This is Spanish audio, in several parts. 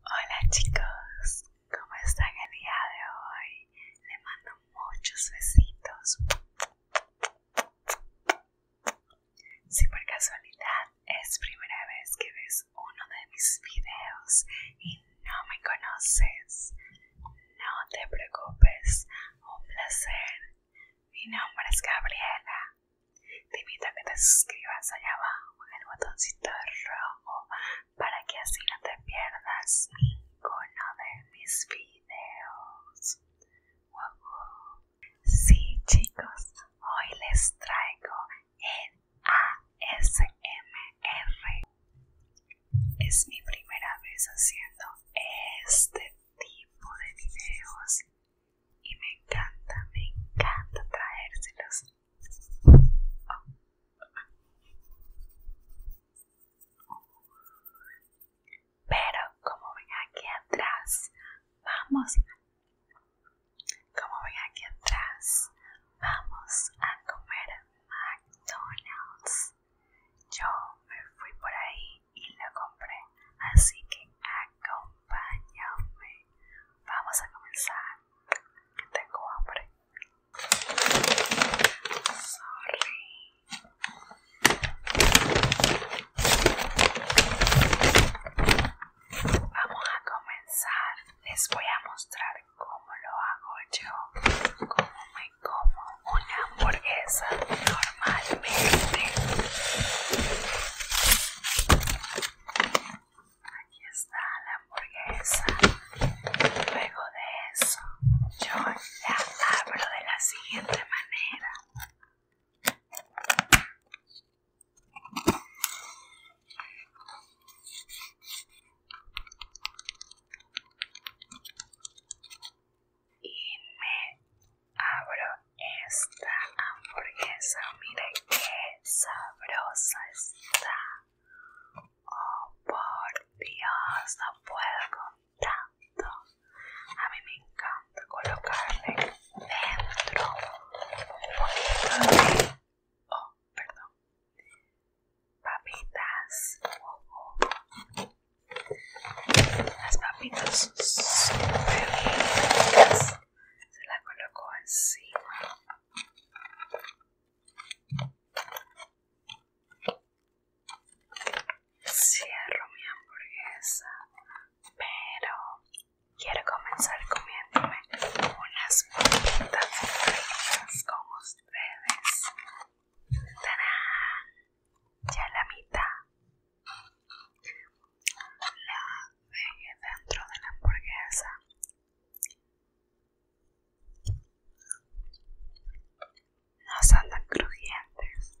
Hola chicos, ¿cómo están el día de hoy? Les mando muchos besitos. Si por casualidad es primera vez que ves uno de mis videos y no me conoces, no te preocupes, un placer. Mi nombre es Gabriela te invito a que te suscribas allá abajo en el botoncito rojo para que así no te pierdas ninguno de mis videos. Wow. Sí chicos, hoy les traigo el ASMR. Es mi primera vez haciendo este tipo de videos y me encanta, me encanta traérselos. Pero como ven aquí atrás, vamos, como ven aquí atrás, vamos a comer McDonald's. Yo me fui por ahí y lo compré, así que acompáñame. Vamos a comenzar. tengo hambre. Sorry. Vamos a comenzar. Les voy a mostrar cómo lo hago yo. Cómo me como una hamburguesa normalmente. Aquí está la hamburguesa. Luego de eso, yo la abro de la siguiente manera. Y me abro esta hamburguesa. mire qué sabrosa está. Oh, por Dios, no puedo con tanto. A mí me encanta colocarle dentro un poquito de... Oh, perdón. Papitas. Las papitas son súper ricas se la colocó encima. Cierro mi hamburguesa, pero quiero comenzar comiéndome unas bolitas fritas con ustedes. Ya la mitad la veje dentro de la hamburguesa no son crujientes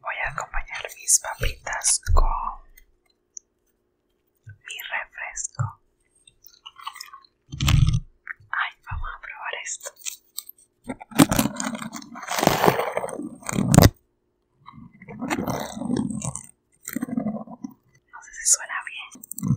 voy a acompañar mis papitas con mi refresco. Ay, vamos a probar esto. No sé si suena bien.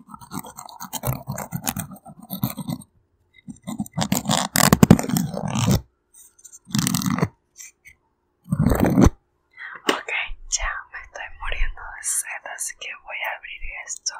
Ok, ya me estoy muriendo de sed, así que voy a abrir esto.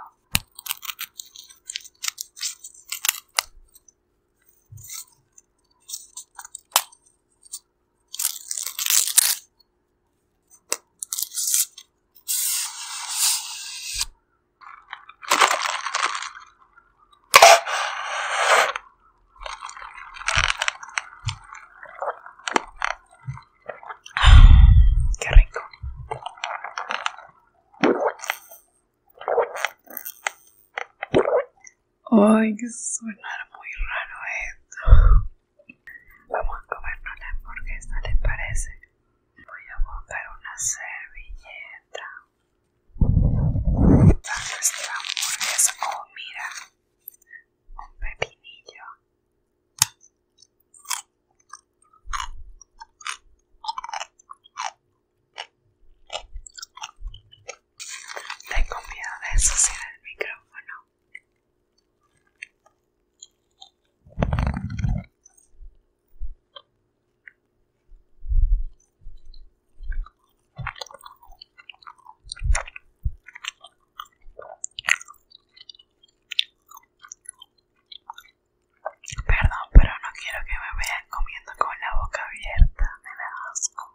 Qué rico. Ay, que suena muy raro esto. Vamos a comernos la hamburguesa, ¿les parece? Voy a buscar una servilleta. Está nuestra hamburguesa. Oh, mira. Un pepinillo. Tengo miedo de eso el micrófono. Perdón, pero no quiero que me vean comiendo con la boca abierta, me da asco.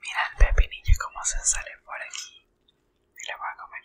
Mira el pepinillo cómo se sale por aquí. Y lo voy a comer.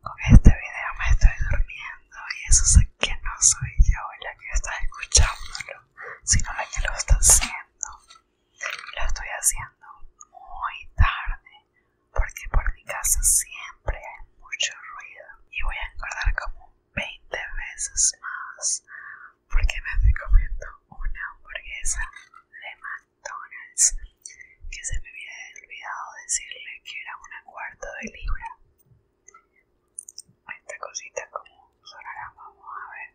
Con este video me estoy durmiendo y eso sé que no soy yo la que está escuchándolo, sino la que lo está haciendo. Lo estoy haciendo muy tarde porque por mi casa siempre hay mucho ruido y voy a engordar como 20 veces más porque me estoy comiendo una hamburguesa de McDonald's que se me había olvidado decirle que era una cuarta de libra. Esta cosita como sonará, vamos a ver.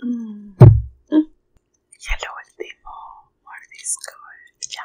Mm. Mm. Ya lo último mordisco, ya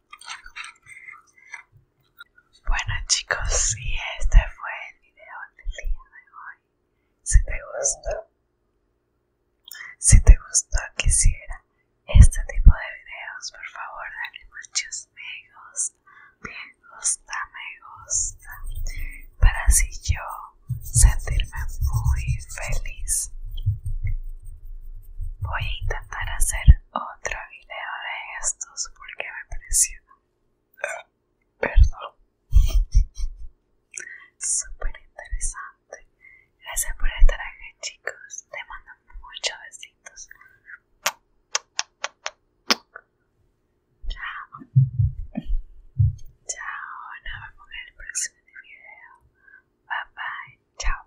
Bueno chicos, si este fue el video del día de hoy. Si te gustó, si te gustó quisiera este tipo de videos, por favor dale muchos me gusta, me gusta, me gusta, para así yo sentirme muy feliz. Voy a intentar hacer otro video video de estos porque me pareció perdón super interesante gracias por estar traje chicos te mando muchos besitos chao chao nos vemos en el próximo video bye bye chao